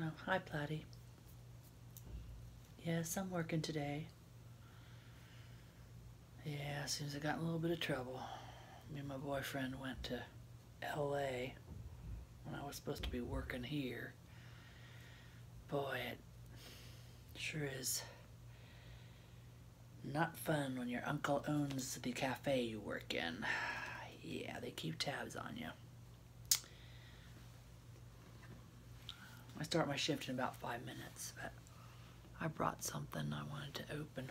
Oh, hi, Platty. Yes, I'm working today. Yeah, as soon as I got in a little bit of trouble, me and my boyfriend went to LA when I was supposed to be working here. Boy, it sure is not fun when your uncle owns the cafe you work in. Yeah, they keep tabs on you. I start my shift in about five minutes, but I brought something I wanted to open.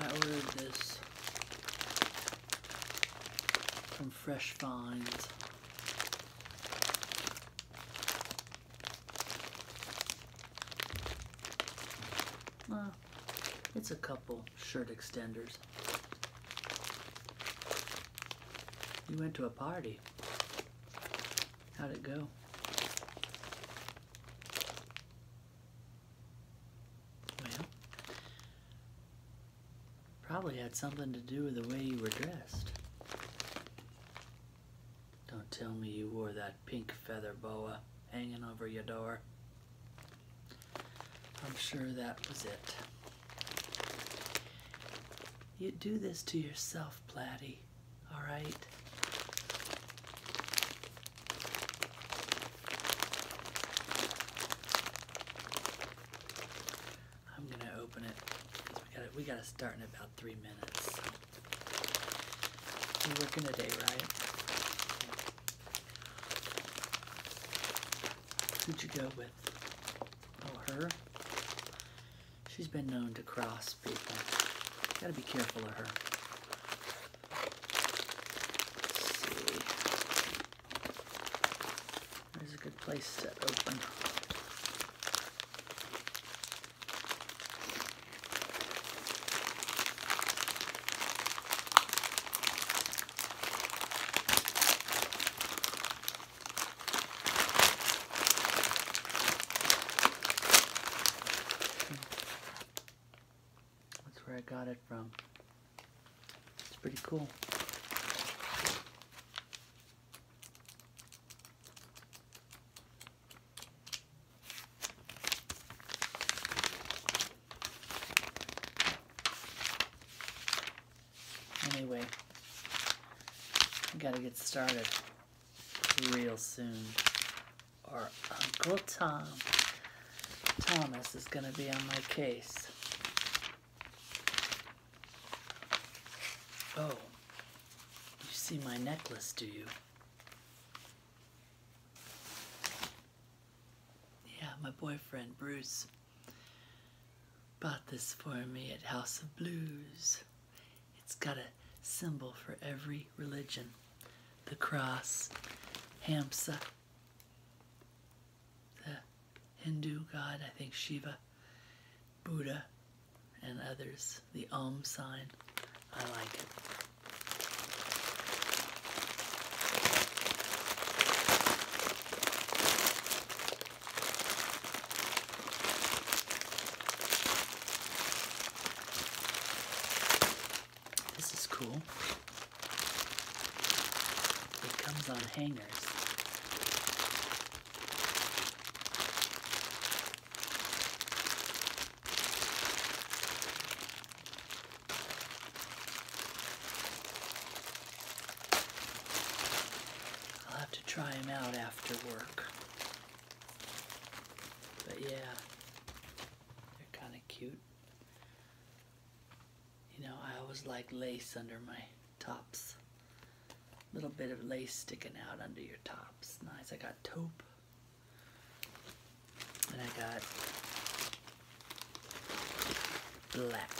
I ordered this some Fresh Finds. Uh, it's a couple shirt extenders. You went to a party. How'd it go? Well, probably had something to do with the way you were dressed. Don't tell me you wore that pink feather boa hanging over your door. I'm sure that was it. You do this to yourself, Platty, alright? I'm gonna open it. We gotta, start in about three minutes. So. You're working today, right? Who'd you go with? Oh, her? She's been known to cross people. Gotta be careful of her. Let's see. There's a good place to open. That's where I got it from. It's pretty cool. Anyway, I gotta get started real soon or Uncle Tom. Thomas is going to be on my case. Oh, you see my necklace, do you? Yeah, my boyfriend, Bruce, bought this for me at House of Blues. It's got a symbol for every religion the cross, Hamsa, the Hindu god, I think Shiva, Buddha, and others, the Om sign. I like it. This is cool. It comes on hangers. I'll have to try them out after work. But yeah, they're kind of cute. You know, I always like lace under my tops. A little bit of lace sticking out under your tops. Nice. I got taupe. And I got black.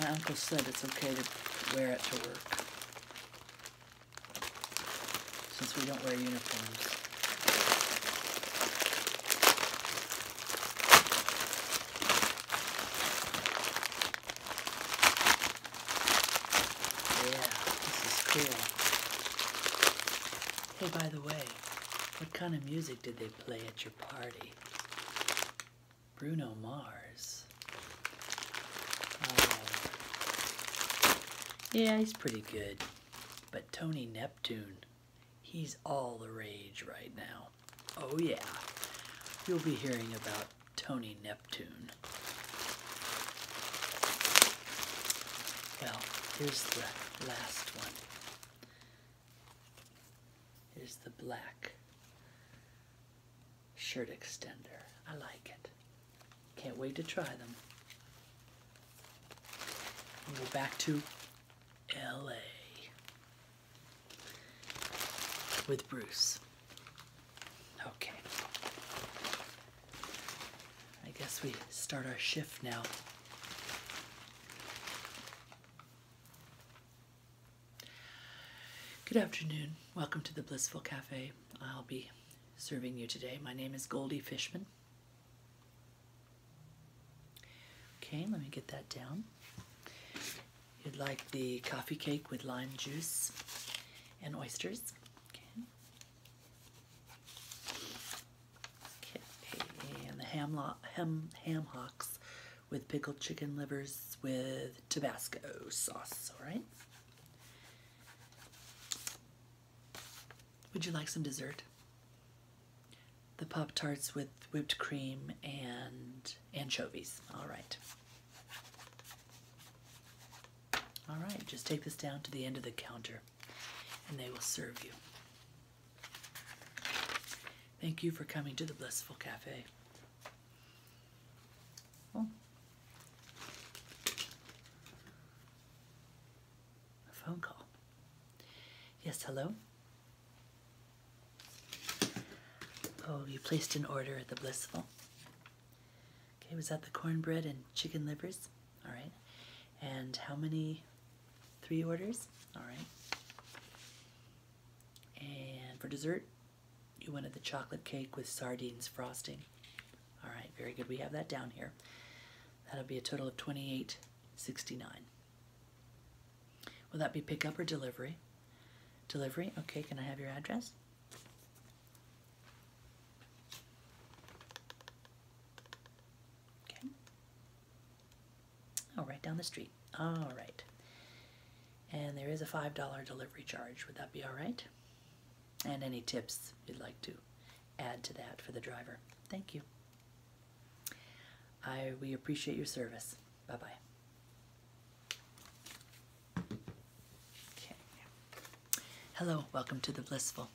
My uncle said it's okay to wear it to work since we don't wear uniforms. Yeah, this is cool. Hey, by the way, what kind of music did they play at your party? Bruno Mars. Uh, yeah, he's pretty good. But Tony Neptune, he's all the rage right now. Oh yeah, you'll be hearing about Tony Neptune. Well, here's the last one. Here's the black shirt extender. I like it. Can't wait to try them. we go back to LA with Bruce. Okay. I guess we start our shift now. Good afternoon. Welcome to the Blissful Cafe. I'll be serving you today. My name is Goldie Fishman. Okay, let me get that down. You'd like the coffee cake with lime juice and oysters. Okay. And the ham, ham, ham hocks with pickled chicken livers with Tabasco sauce, all right? Would you like some dessert? The Pop Tarts with whipped cream and anchovies. All right. All right, just take this down to the end of the counter and they will serve you. Thank you for coming to the Blissful Cafe. Oh. phone call. Yes, hello? Oh, you placed an order at the Blissful. Okay, was that the cornbread and chicken livers? All right. And how many? Three orders? All right. And for dessert, you wanted the chocolate cake with sardines frosting. All right, very good. We have that down here. That'll be a total of twenty-eight sixty-nine. Will that be pickup or delivery? Delivery. Okay, can I have your address? Okay. I'll down the street. All right. And there is a $5 delivery charge. Would that be all right? And any tips you'd like to add to that for the driver. Thank you. I, we appreciate your service. Bye-bye. Hello, welcome to The Blissful.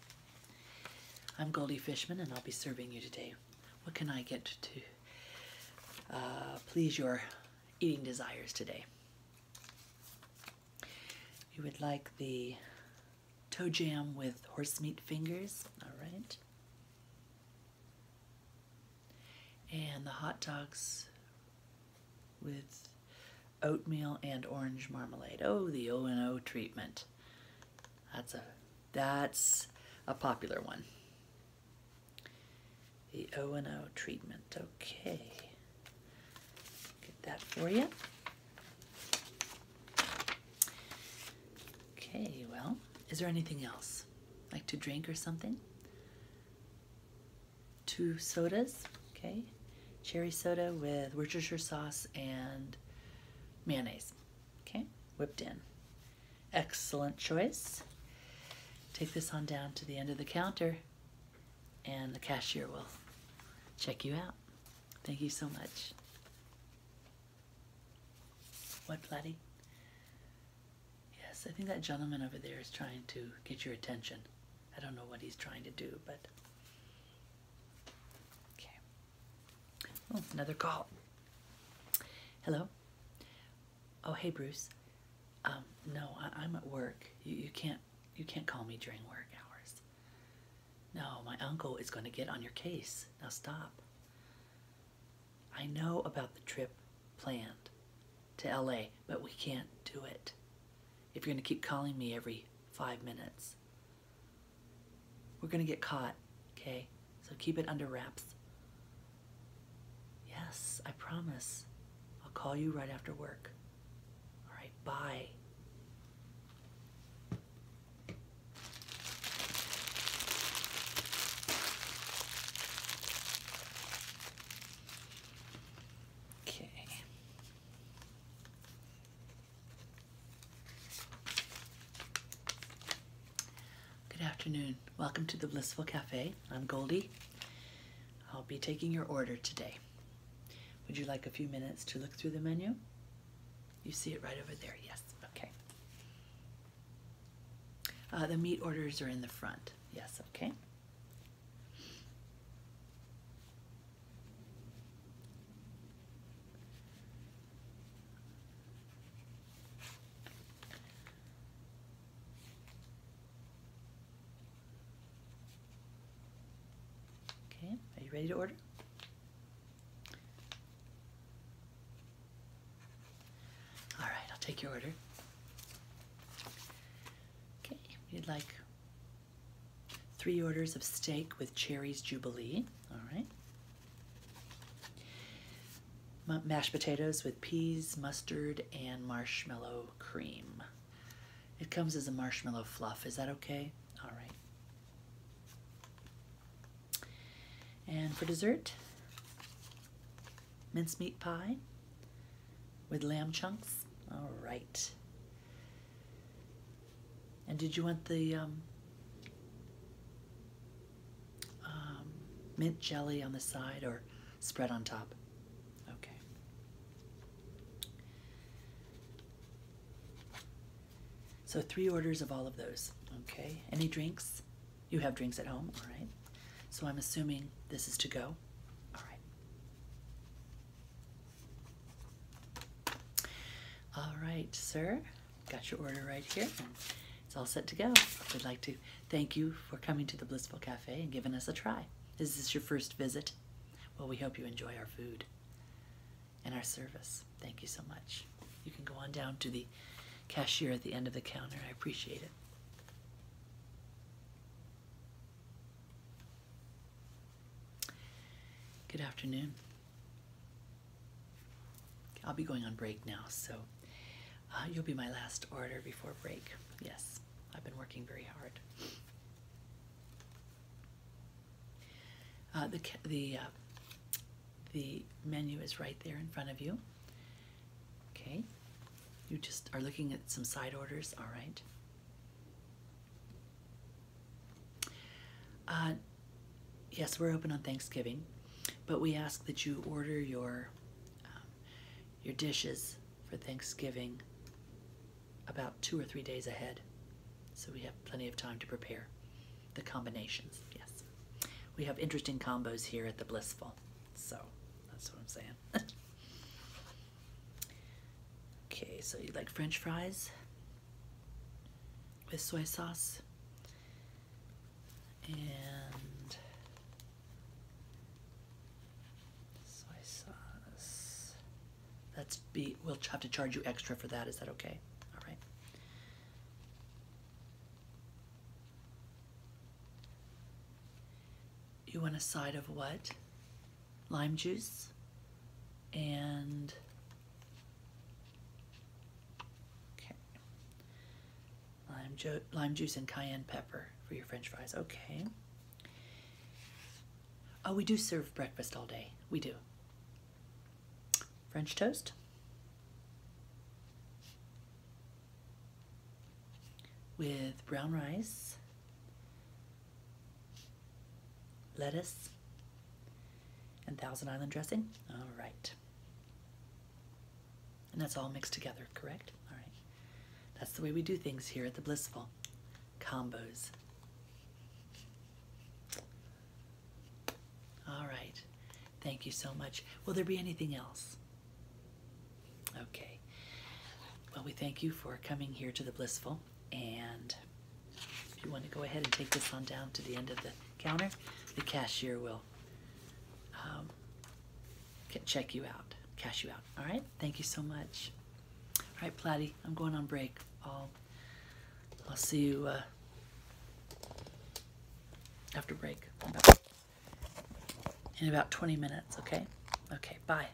I'm Goldie Fishman and I'll be serving you today. What can I get to uh, please your eating desires today. You would like the toe jam with horse meat fingers, all right. And the hot dogs with oatmeal and orange marmalade. Oh, the O and O treatment. That's a that's a popular one. The O&O treatment. Okay. Get that for you. Okay, well, is there anything else? Like to drink or something? Two sodas, okay? Cherry soda with Worcestershire sauce and mayonnaise, okay? Whipped in. Excellent choice. Take this on down to the end of the counter and the cashier will check you out. Thank you so much. What, Platty? Yes, I think that gentleman over there is trying to get your attention. I don't know what he's trying to do, but... Okay. Oh, another call. Hello? Oh, hey, Bruce. Um, no, I, am at work. you can't, you can't call me during work hours. No, my uncle is going to get on your case. Now stop. I know about the trip planned to LA, but we can't do it. If you're going to keep calling me every five minutes, we're going to get caught, okay? So keep it under wraps. Yes, I promise. I'll call you right after work. All right, bye. Okay. Good afternoon. Welcome to the Blissful Cafe. I'm Goldie. I'll be taking your order today. Would you like a few minutes to look through the menu? You see it right over there, yes. Okay. Uh, the meat orders are in the front. Yes, okay. Okay, are you ready to order? All right, I'll take your order. Okay, you'd like three orders of steak with Cherry's Jubilee. All right mashed potatoes with peas, mustard, and marshmallow cream. It comes as a marshmallow fluff. Is that okay? All right. And for dessert, mincemeat pie with lamb chunks. All right. And did you want the um, um, mint jelly on the side or spread on top? Okay. So three orders of all of those. Okay. Any drinks? You have drinks at home, all right. So I'm assuming this is to go. All right. All right, sir. Got your order right here. it's all set to go. We'd like to thank you for coming to the Blissful Cafe and giving us a try. Is this your first visit? Well, we hope you enjoy our food and our service. Thank you so much. You can go on down to the cashier at the end of the counter. I appreciate it. Good afternoon. I'll be going on break now, so uh, you'll be my last order before break. Yes, I've been working very hard. Uh, the uh, the menu is right there in front of you. Okay, you just are looking at some side orders. All right. Uh, yes, we're open on Thanksgiving, but we ask that you order your um, your dishes for Thanksgiving about two or three days ahead, so we have plenty of time to prepare the combinations. Yes, we have interesting combos here at the Blissful, so that's what I'm saying. okay, so you like French fries? with soy sauce and soy sauce. That's be we'll have to charge you extra for that. Is that okay? All right. You want a side of what? lime juice and okay lime, ju lime juice and cayenne pepper for your french fries okay oh we do serve breakfast all day we do french toast with brown rice lettuce, and Thousand Island dressing. All right. And that's all mixed together, correct? All right. That's the way we do things here at the Blissful. Combos. All right. Thank you so much. Will there be anything else? Okay. Well, we thank you for coming here to the Blissful. And if you want to go ahead and take this on down to the end of the counter, the cashier will um, check you out, cash you out. All right, thank you so much. All right, Platty, I'm going on break. I'll, I'll see you uh, after break in about 20 minutes, okay? Okay, bye.